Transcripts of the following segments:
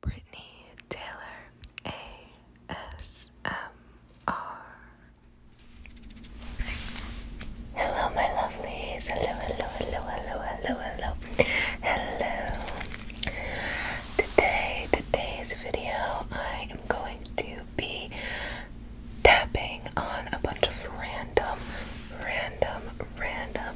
Brittany Taylor ASMR. Hello, my lovelies. Hello, hello, hello, hello, hello, hello. Hello. Today, today's video, I am going to be tapping on a bunch of random, random, random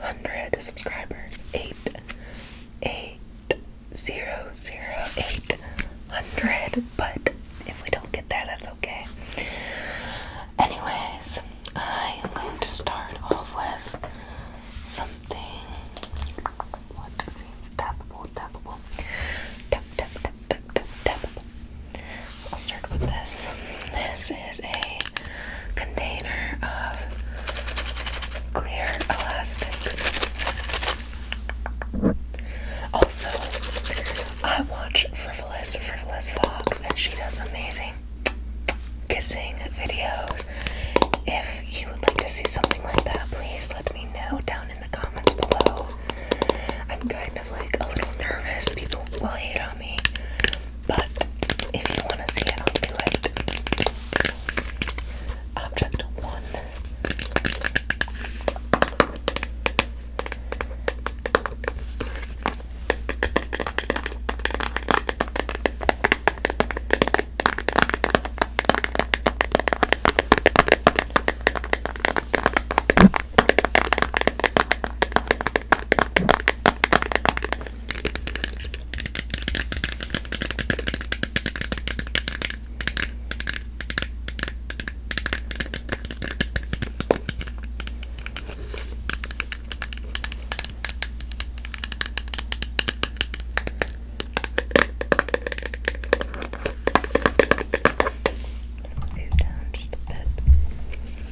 Hundred subscribers. 8 8 0 0 800. But if we don't get there, that's okay. Anyways, I am going to start off with something. What seems tappable, tappable. Tap, tap, tap, tap, tap, I'll start with this this is a container of clear elastics. Also, I watch Frivolous Frivolous Fox, and she does amazing kissing videos. If you would like to see something like that, please let me know down in the comments below. I'm kind of like a little nervous. People will hate on me but if you want to see it, I'll do it. Object one. Move down just a bit.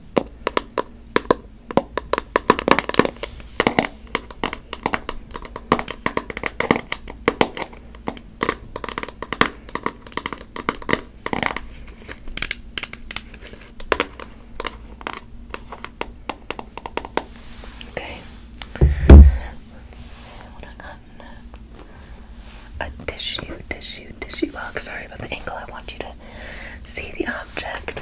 Okay. Let's see what A tissue, tissue, tissue box. Sorry about the angle. I want you to see the object.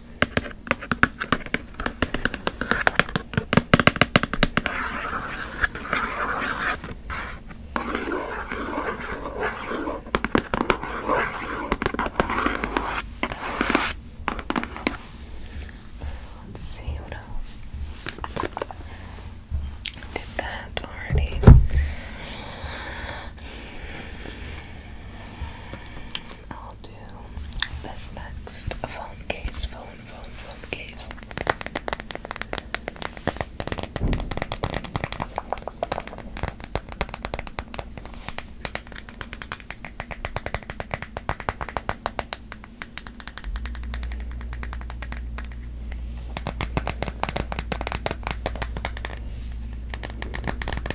Let's see what else. Did that already. I'll do this next phone case, phone, phone, phone case.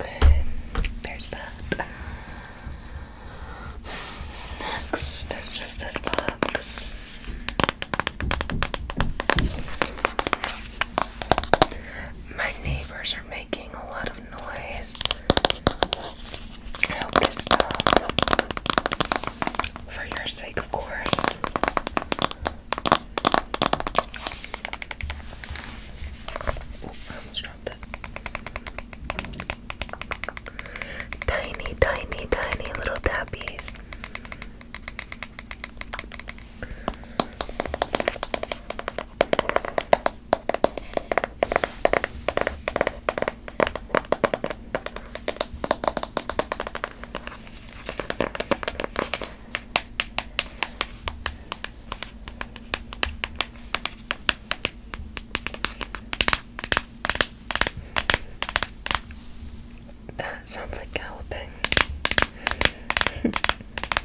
Okay, there's that. Next, just this box. My neighbors are making a lot noise. I hope this um, For your sake, of course. Tiny, tiny, tiny little tappies. That sounds like galloping.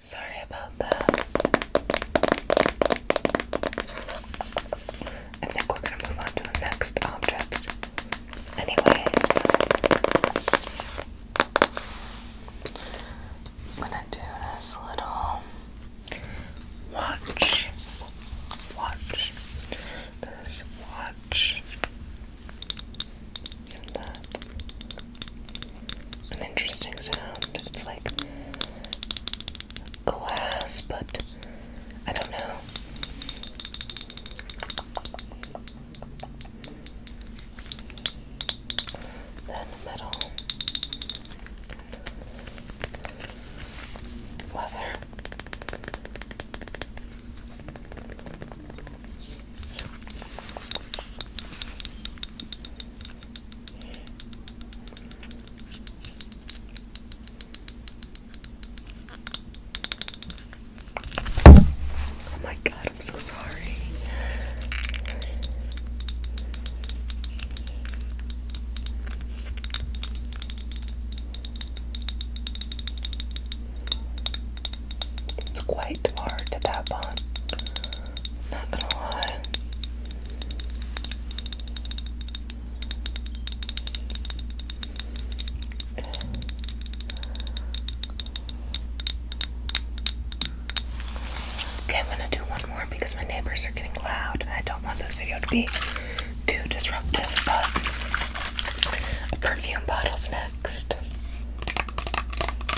Sorry about that. I think we're gonna move on to the next object. Anyways, I'm gonna do this little watch. Watch. This watch. is that? an interesting sound. It's like glass, but I don't know. Then metal, leather. Oh my god, I'm so sorry. It's quite hard to tap on. Not gonna lie. Okay, I'm gonna do one more because my neighbors are getting loud and I don't want this video to be too disruptive, but a perfume bottle's next.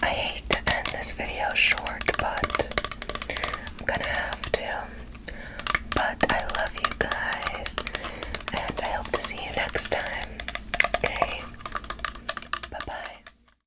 I hate to end this video short, but I'm gonna have to. But I love you guys, and I hope to see you next time. Okay? Bye bye.